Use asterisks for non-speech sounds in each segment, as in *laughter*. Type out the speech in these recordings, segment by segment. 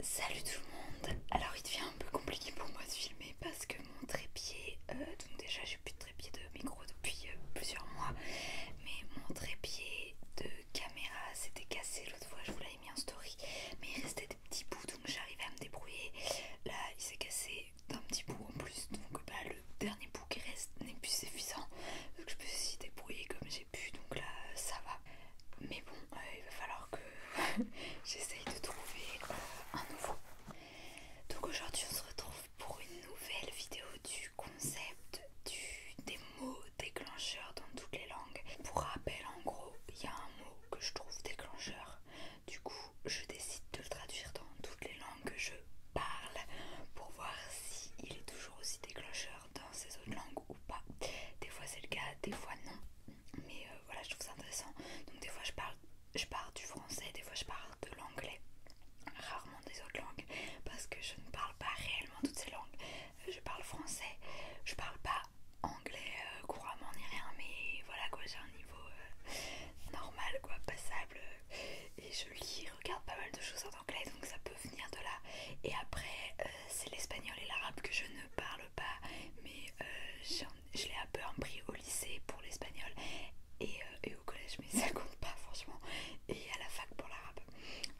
Salut tout le monde! Alors il devient un peu compliqué pour moi de filmer parce que mon trépied, euh, donc déjà j'ai plus de trépied de micro depuis euh, plusieurs mois, mais mon trépied de caméra s'était cassé l'autre fois, je vous l'avais mis en story, mais il restait des petits bouts donc j'arrivais à me débrouiller. Là il s'est cassé d'un petit bout en plus, donc bah, le dernier bout qui reste n'est plus suffisant, donc je peux suis débrouiller comme donc là ça va. Mais bon, euh, il va falloir que *laughs* j'essaye de trouver euh, un nouveau. Donc aujourd'hui on se retrouve pour une nouvelle vidéo du concept du, des mots déclencheurs dans toutes les langues. Pour rappel en gros, il y a un mot que je trouve déclencheur. Du coup je décide de le traduire dans toutes les langues que je parle pour voir s'il il est toujours aussi déclencheur dans ces autres langues ou pas. Des fois c'est le cas, des fois non. Mais euh, voilà, je trouve ça intéressant. Donc des fois je parle, je parle du français, des fois je parle de l'anglais, rarement des autres langues, parce que je ne parle pas réellement toutes ces langues. Euh, je parle français, je parle pas anglais euh, couramment ni rien, mais voilà quoi, j'ai un niveau normal quoi, passable. Et je lis, regarde pas mal de choses en anglais, donc ça peut venir de là. Et après, c'est l'espagnol et l'arabe que je ne parle pas, mais euh, je l'ai un peu empris au lycée pour l'espagnol et, euh, au collège, mais *laughs* ça compte pas franchement, et à la fac pour l'arabe.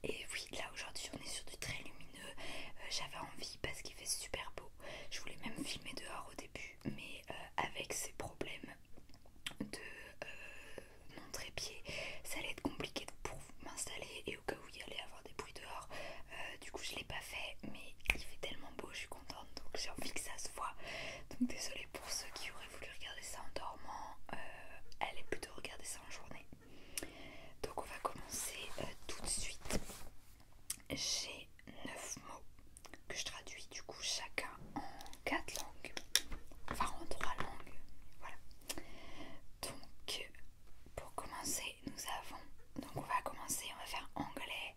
Et oui, là aujourd'hui on est sur du très lumineux, euh, j'avais envie parce qu'il fait super beau, je voulais même filmer dehors au début, mais avec ces problèmes de mon trépied, ça allait être compliqué pour m'installer donc au cas il y allait avoir des bruits dehors euh, du coup je l'ai pas fait mais il fait tellement beau je suis contente donc j'ai envie que ça se voit donc désolée pour ceux qui auraient voulu regarder ça en dormant euh, allez plutôt regarder ça en journée donc on va commencer euh, tout de suite j'ai 9 mots que je traduis du coup chacun en 4 langues enfin en 3 langues voilà donc pour commencer, nous avons. Donc, on va commencer, on va faire anglais.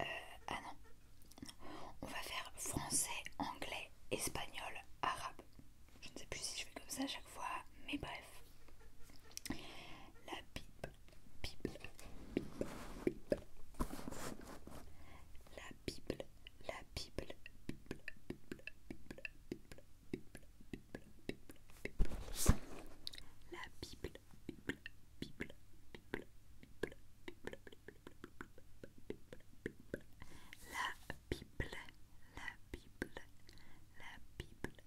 Euh, ah non. On va faire français, anglais, espagnol, arabe. Je ne sais plus si je fais comme ça à chaque fois, mais bref. La Bible. Bible. Bible. La Bible, la Bible, Bible, Bible, Bible, Bible, la Bible, Bible, la Bible, la Bible, la Bible, la Bible.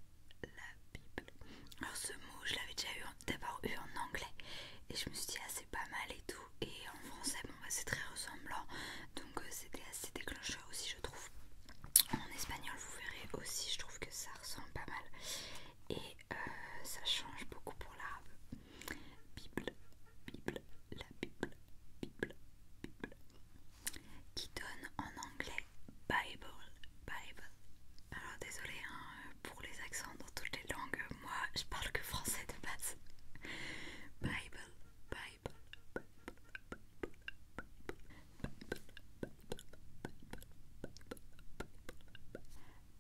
Alors ce mot, je l'avais déjà eu d'abord eu en anglais et je me suis dit ah c'est pas mal et tout. Et en français, bon bah c'est très ressemblant, donc c'était assez déclencheur aussi je trouve. En espagnol, vous verrez aussi, je trouve que ça ressemble pas mal. Et euh, ça change beaucoup pour l'arabe. Bible, Bible, la Bible, Bible, Bible. Qui donne en anglais Bible, Bible. Alors désolé hein, pour les accents dans toutes les langues, moi je parle que français de base. Bible, Bible,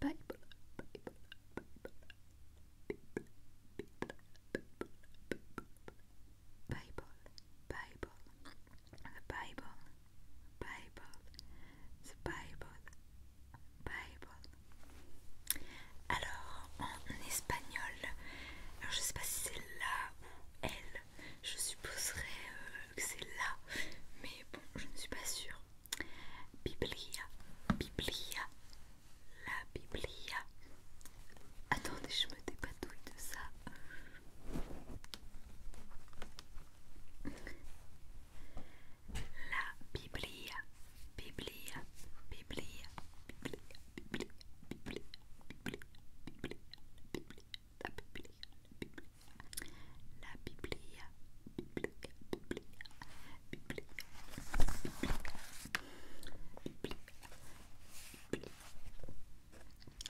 Bible. Bible. Bible, Alors, en espagnol, alors je sais pas si c'est là ou elle, je supposerais euh, que c'est là, mais bon, je ne suis pas sûre. Biblia, Biblia, la Biblia. Attendez, je me dépatouille de ça. La Biblia, Biblia, Biblia, Biblia. La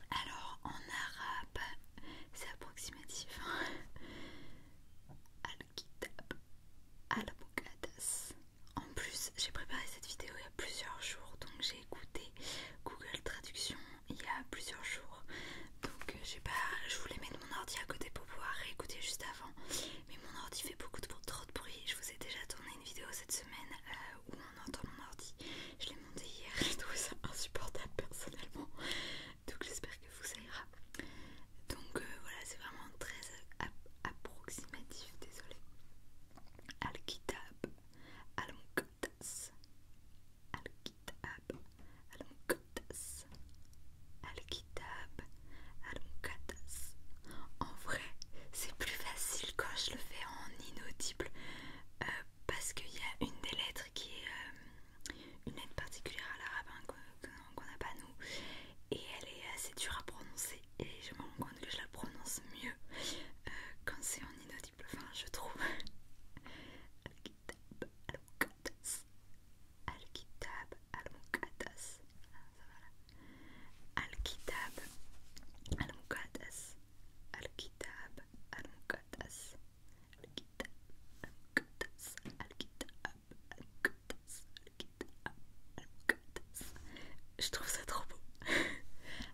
Alors en arabe, c'est approximatif. Hein. Al-Kitab, al la En plus, j'ai préparé cette vidéo il y a plusieurs jours, donc j'ai Google Traduction il y a plusieurs jours. Donc euh, j'ai pas, je voulais mettre mon ordi à côté pour pouvoir réécouter juste avant. Mais mon ordi fait beaucoup de, trop de bruit. Je vous ai déjà tourné une vidéo cette semaine euh, où on entend mon ordi. Je l'ai monté hier, *laughs* et ça insupportable personnellement. Donc j'espère que vous ça ira. Donc euh, voilà, c'est vraiment très approximatif, désolé. Alkitab al al al al En vrai, c'est plus facile quand je le fais en inaudible euh, parce qu'il y a une des lettres qui est euh, une lettre particulière à l'arabe hein, qu'on n'a pas nous et elle est assez dure à prononcer et je me rends compte que je la prononce mieux euh, quand c'est en je trouve. Je trouve ça trop beau. *laughs*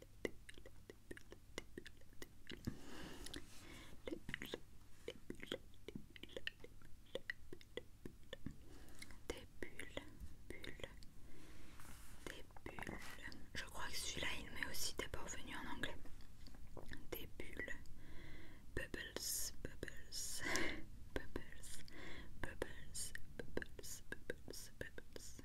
des bulles, bulles, des bulles. Je crois que celui-là il met aussi des venu en anglais. Des bulles, bubbles, bubbles, bubbles, bubbles, bubbles, bubbles, bubbles.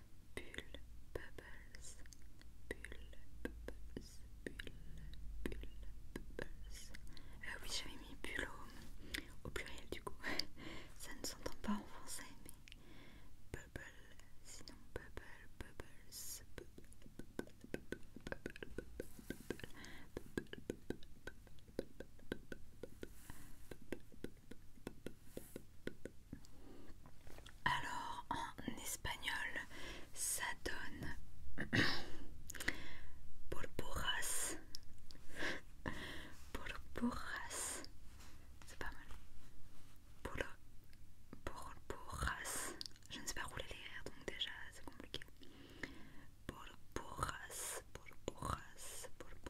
Bulle, bubbles, bulle, bubbles, bulle, bubbles. oui, j'avais mis bulle au, pluriel du coup. Ça ne s'entend pas en français, mais bubble, sinon bubble, bubbles, alors en espagnol, ça donne *coughs* purpuras, purpuras, c'est pas mal, purpuras. Je ne sais pas rouler les airs, donc déjà c'est compliqué. Purpuras, purpuras, purpuras.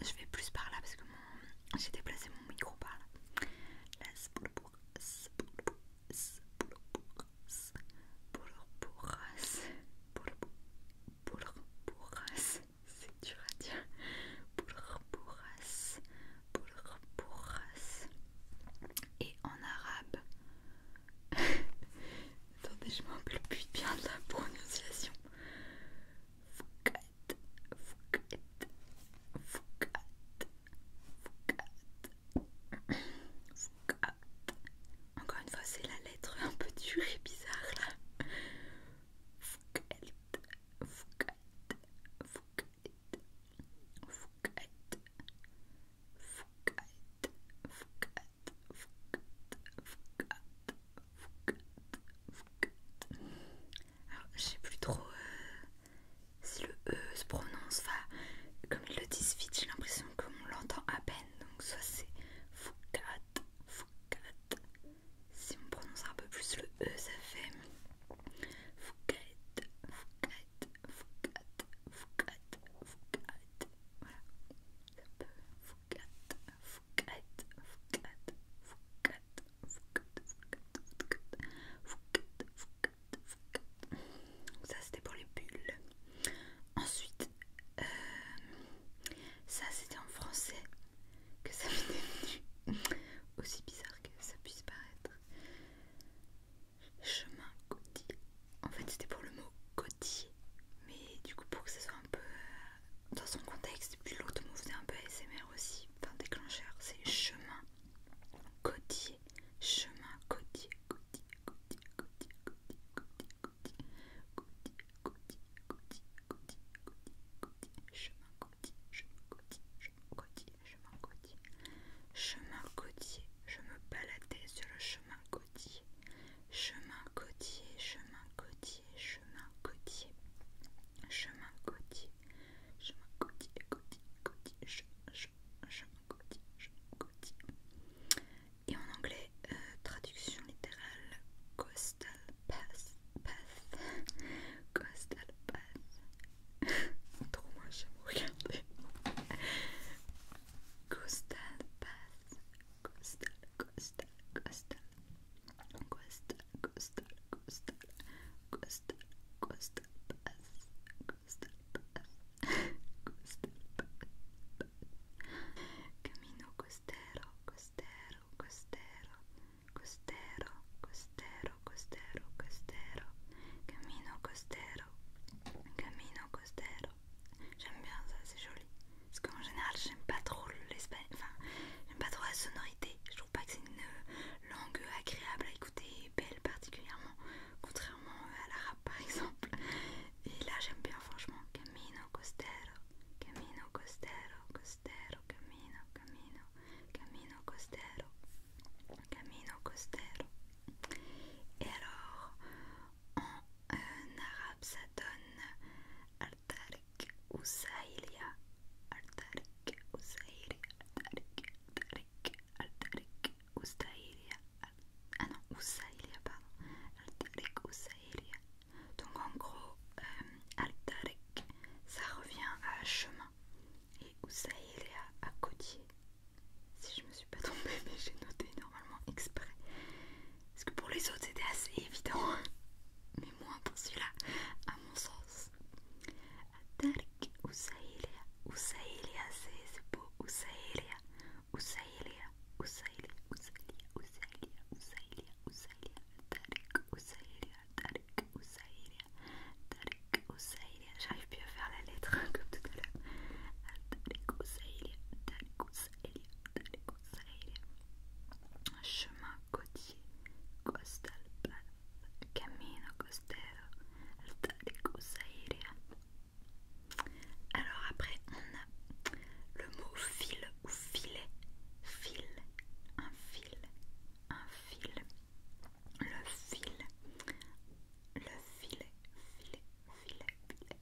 Je vais plus par là parce que j'ai déplacé mon micro par là. Et en arabe, *laughs* Attendez, je me le but bien de la prononciation. Foucat, fouquette, fouquette, fouquette, fouquette. Encore une fois, c'est la lettre un peu dure et bizarre là. Fouquette, fouquette, fouquette, fouquette, fouquette, alors, je sais plus trop euh, si le E se prononce, enfin, comme ils le disent vite, j'ai l'impression qu'on l'entend à peine, donc soit c'est Foukat, Foukat. Si on prononce un peu plus le E, ça fait Foukat, Foukat, Foukat, Foukat, Foukat. Voilà, ça peut Foucade, Foucade, Foucade, Foucade, Foucade, Foucade, Foucade, Foucade, donc Ça c'était pour les bulles. Ensuite, euh, ça c'était en français que ça m'était venu. Aussi bizarre que ça puisse paraître. Chemin côtier en fait, c'était pour le mot côtier, mais du coup, pour que ça soit un peu dans son contexte, puis l'autre mot faisait un peu ASMR aussi, enfin déclencheur, c'est chemin côtier, chemin côtier, côtier, côtier, côtier, côtier, côtier, côtier, côtier, côtier, côtier, côtier, côtier, chemin côtier, chemin côtier, chemin côtier, chemin côtier, chemin côtier, je me baladais sur le chemin côtier chemin côtier, chemin côtier, chemin côtier, chemin côtier, chemin côtier, côtier, côtier, chemin, chemin, chemin côtier, chemin côtier. Et en anglais, euh, traduction littérale, coastal path, path, coastal path. *laughs* Trop moi, j'aime regarder. Coastal path, Costar, costar, costar. Costar, costar, costar. Costar, costar, paz. Costar, paz. Costar, paz. Camino costero, costero, costero. Costero, costero, costero, costero. Camino costero. Camino costero. J'aime bien ça, c'est joli. Parce qu'en général, j'aime pas trop l'espagnol. Enfin, j'aime pas trop la sonorité. Je trouve pas que c'est une langue agréable à écouter belle particulièrement. Contrairement à l'arabe par exemple. Et là, j'aime bien franchement. Camino costero, camino costero, costero, camino, camino, camino costero, camino costero. Et alors, en arabe ça donne Artarik ou Saïlia. Artarik ou Saïlia. Artarik, Al ou Saïlia. Ah non, ou pardon. Al ou Saïlia. Donc en gros, euh, al ça revient à chemin et ou à côtier. Si je me suis pas *laughs* trompée, mais j'ai noté normalement exprès. Parce que pour les autres c'était assez évident, mais moins pour celui-là, à mon sens. Atark Usaïlia, Usaïlia, c'est beau, Usaïlia, Usaïlia, Usaïlia, Usaïlia, Usaïlia, Usaïlia, Usaïlia, Atark Usaïlia, Atark Usaïlia, Atark Usaïlia, j'arrive plus à faire la lettre comme tout à l'heure. Atark Tarek Atark un chemin côtier, Costa Camino Costero, Alta de Cosaire. Alors après on a le mot fil ou filet, fil, un fil, un fil, le fil, le filet, filet, filet, filet,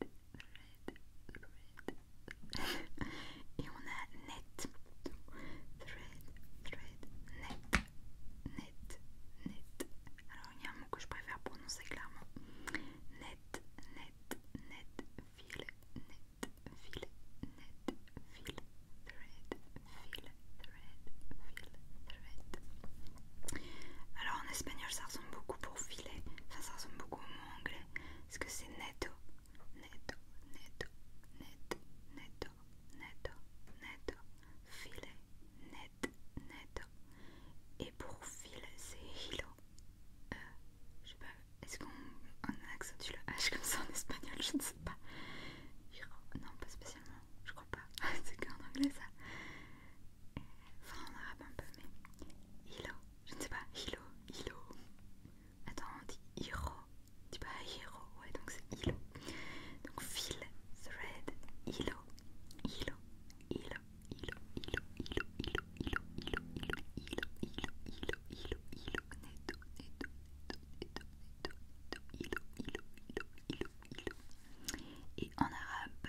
et on a net. Thread, thread, net, net, net. Alors il y a un mot que je préfère prononcer clairement. Net, net, net, fil, net, fil, net, fil, thread, fil, thread, fil, thread. Alors en espagnol ça ressemble beaucoup pour filet, ça ressemble beaucoup au mot anglais. Est-ce que c'est netto Netto, netto, net, netto, netto, netto, filet, net, netto. Et pour fil, c'est hilo. Euh, je sais pas, est-ce qu'on accentue le H comme ça en espagnol Je ne sais pas. Non, pas spécialement, je crois pas. *laughs* c'est qu'en anglais ça. Euh, enfin, en arabe un peu, mais hilo. Je ne sais pas, Hilo, Hilo. Attends, on dit Hiro. Tu pas Hiro, ouais, donc c'est Hilo. Donc fil, thread, Hilo, Hilo, Hilo, Hilo, Hilo, Hilo, Hilo, Hilo, Hilo, Hilo, Hilo, Hilo, Hilo, Hilo. Et en arabe.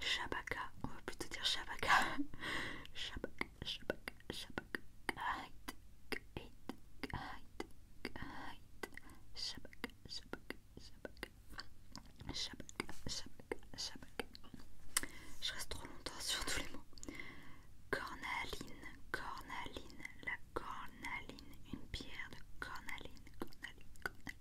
Shabaka, on va plutôt dire Shabaka. *laughs* Shabaka, Shabaka, Shabaka. Kite, kite, kite, kite. Shabaka, Shabaka, Shabaka. Shabaka, Shabaka, Shabaka. Je reste trop longtemps sur tous les mots. Cornaline, cornaline, la cornaline, une pierre de cornaline, cornaline, cornaline.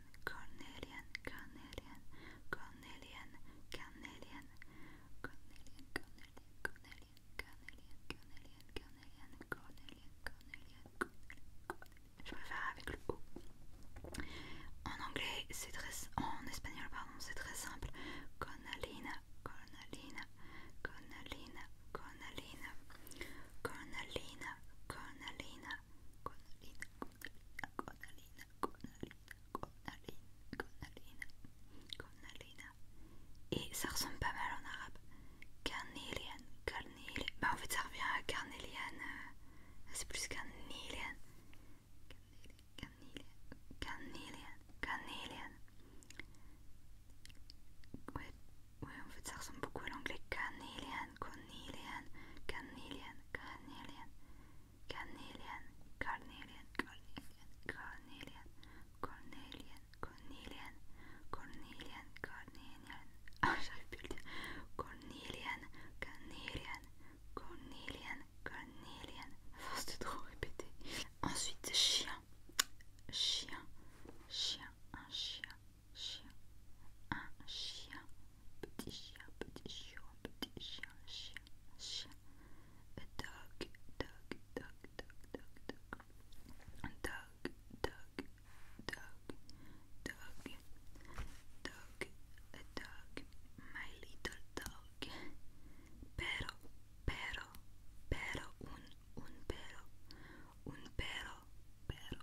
Cornelian, Cornelian, Cornelian, Cornelian, Cornelian, Cornelian, Cornelian, Cornelian, Cornelian, Cornelian, Cornelian, Cornelian, Cornelian, Je préfère avec le O. En anglais, c'est très. En espagnol, pardon, c'est très simple. Conalina Gonaline, Gonaline, Gonaline, Gonaline, Gonaline, Gonaline. Et ça ressemble pas mal en arabe. Carnelian, Carnelian. Bah en fait ça revient à Carnelian. Euh, c'est plus Carnelian. Carnelian, Carnelian, Carnelian. Ouais, oui, en fait, ça ressemble beaucoup à l'anglais. Canelian, cornelian, cornelian canelian, carnelian cornelian, cornelian, cornelian, cornelian, cornelian, cornelian, ah, j'arrive plus le dire. Cornelian, cornelian, cornelian, cornelian, force de trop répéter. Ensuite, chien, chien, chien, un chien. chien, un chien, petit chien, petit chien, petit chien, chien, chien, a dog, dog, dog, dog, dog, dog, dog, dog, dog, dog, dog, a dog, my little dog, pero, pero, pero, un, un pero, un pero, pero,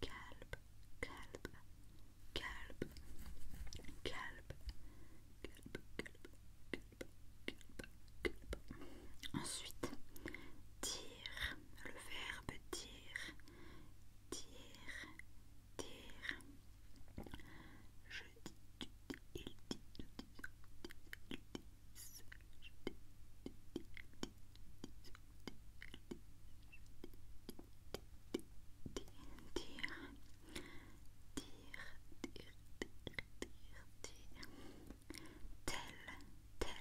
Calpe calbe, calme, calme, Ensuite, dire, le verbe dire, dire, dire. Je dis, tu dis, il dit, Dire Est-ce que vous avez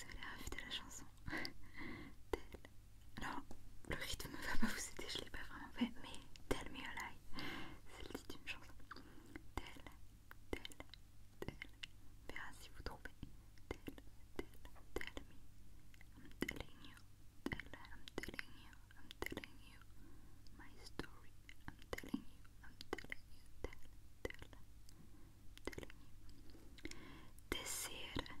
la de la chanson alors, le rythme va pas vous aider, je l'ai pas vraiment fait, mais Tell Me a Lie, c'est le titre d'une chanson. Tell, tell, tell, verra si vous trouvez. Tell, tell, tell me, I'm telling you, tell, I'm telling you, I'm telling you, my story, I'm telling you, I'm telling you, tell, tell, I'm telling you. Desir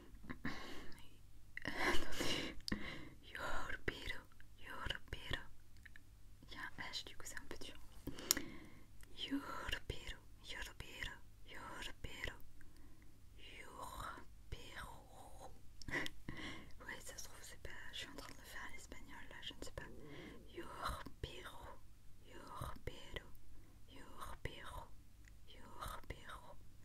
Yorpiro, *laughs* yorpiro. Il y a un H, du coup, c'est un peu dur. Yorpiro, yorpiro, yorpiro. Yorpiro. oui, ça se trouve, c'est pas. Je suis en train de le faire en l'espagnol là, je ne sais pas. Yorpiro, yorpiro, yorpiro, yorpiro.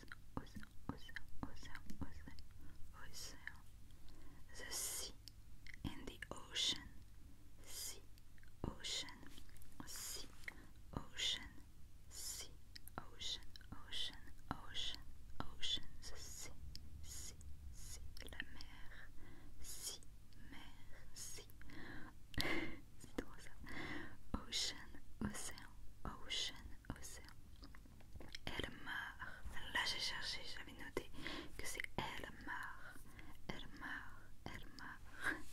Ocean, The sea and the ocean. Sea, ocean, sea, ocean, sea, ocean, ocean, ocean, ocean. The sea, sea, sea, la mer. Sea, mer, sea. Ocean, océan, ocean, océan. Elmar. Là j'ai cherché, j'avais noté que c'est Elmar. Elmar, Elmar.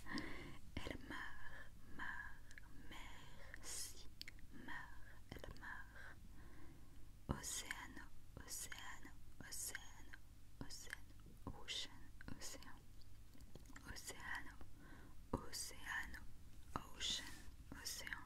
Elmar, Mar, merci. Mar, Elmar. Océano, Océano, Océano, Océano, Ocean, Océan. Océano, Océano, Ocean, Océan.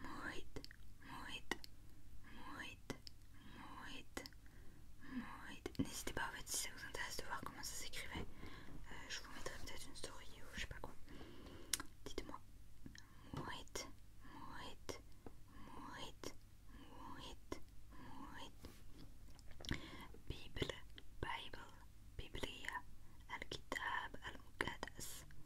Muito, muito, muito, muito, muito. N'hésitez pas en fait si ça vous intéresse de voir comment ça s'écrivait. Euh, je vous mettrai peut-être une story ou je sais pas quoi. Dites-moi. Muito, muito, muito, muito, Bible, Bible, Biblia, Al-Kitab, Al-Muqaddas.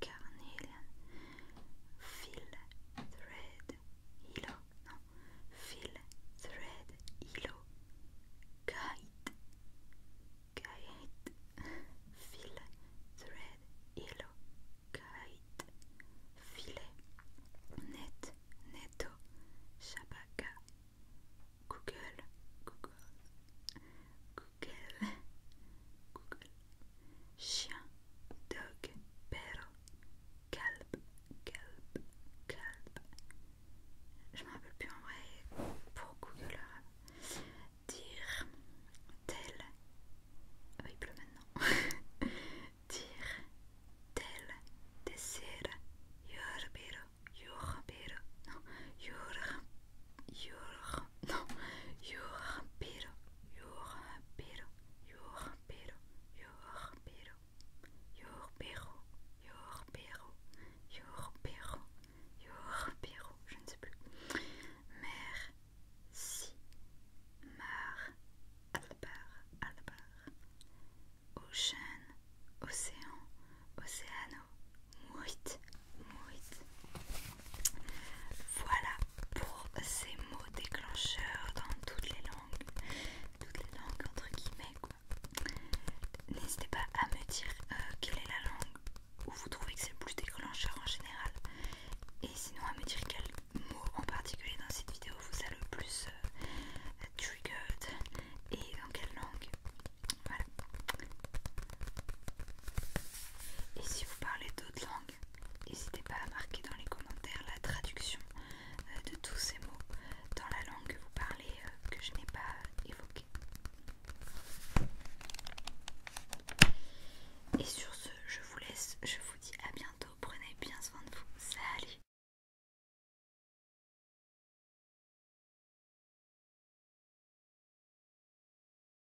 carnelian, fil, thread, hilo, non, fil, thread, hilo, guide, guide, fil, thread, hilo, guide, filet, net, netto, shabaka, google, google, google, google chien, dog, perro, calb, calb, calb. Je m'en rappelle plus en vrai pour l'heure Dire, tel. Ah, bah, il pleut maintenant. *laughs* Dire, tel, perro, yorbero, perro non, yorbero. Your, *laughs* non, your perro, your perro, your perro, your your perro, your perro, your perro, your perro, je ne sais plus. Mer, mar, albar, albar, ocean, océan, océano, muit, voilà pour ces mots déclencheurs dans toutes les langues, toutes les langues entre guillemets quoi. N'hésitez pas à me dire euh, quelle est la langue où vous trouvez que c'est le plus déclencheur en général. Et sinon à me dire quel mot en particulier dans cette vidéo vous a le plus euh, triggered et dans quelle langue. Voilà. Et si vous parlez d'autres langues, N'hésitez pas à marquer dans les commentaires la traduction euh, de tous ces mots dans la langue que vous parlez euh, que je n'ai pas euh, évoquée. Et sur ce, je vous laisse, je vous dis à bientôt, prenez bien soin de vous, salut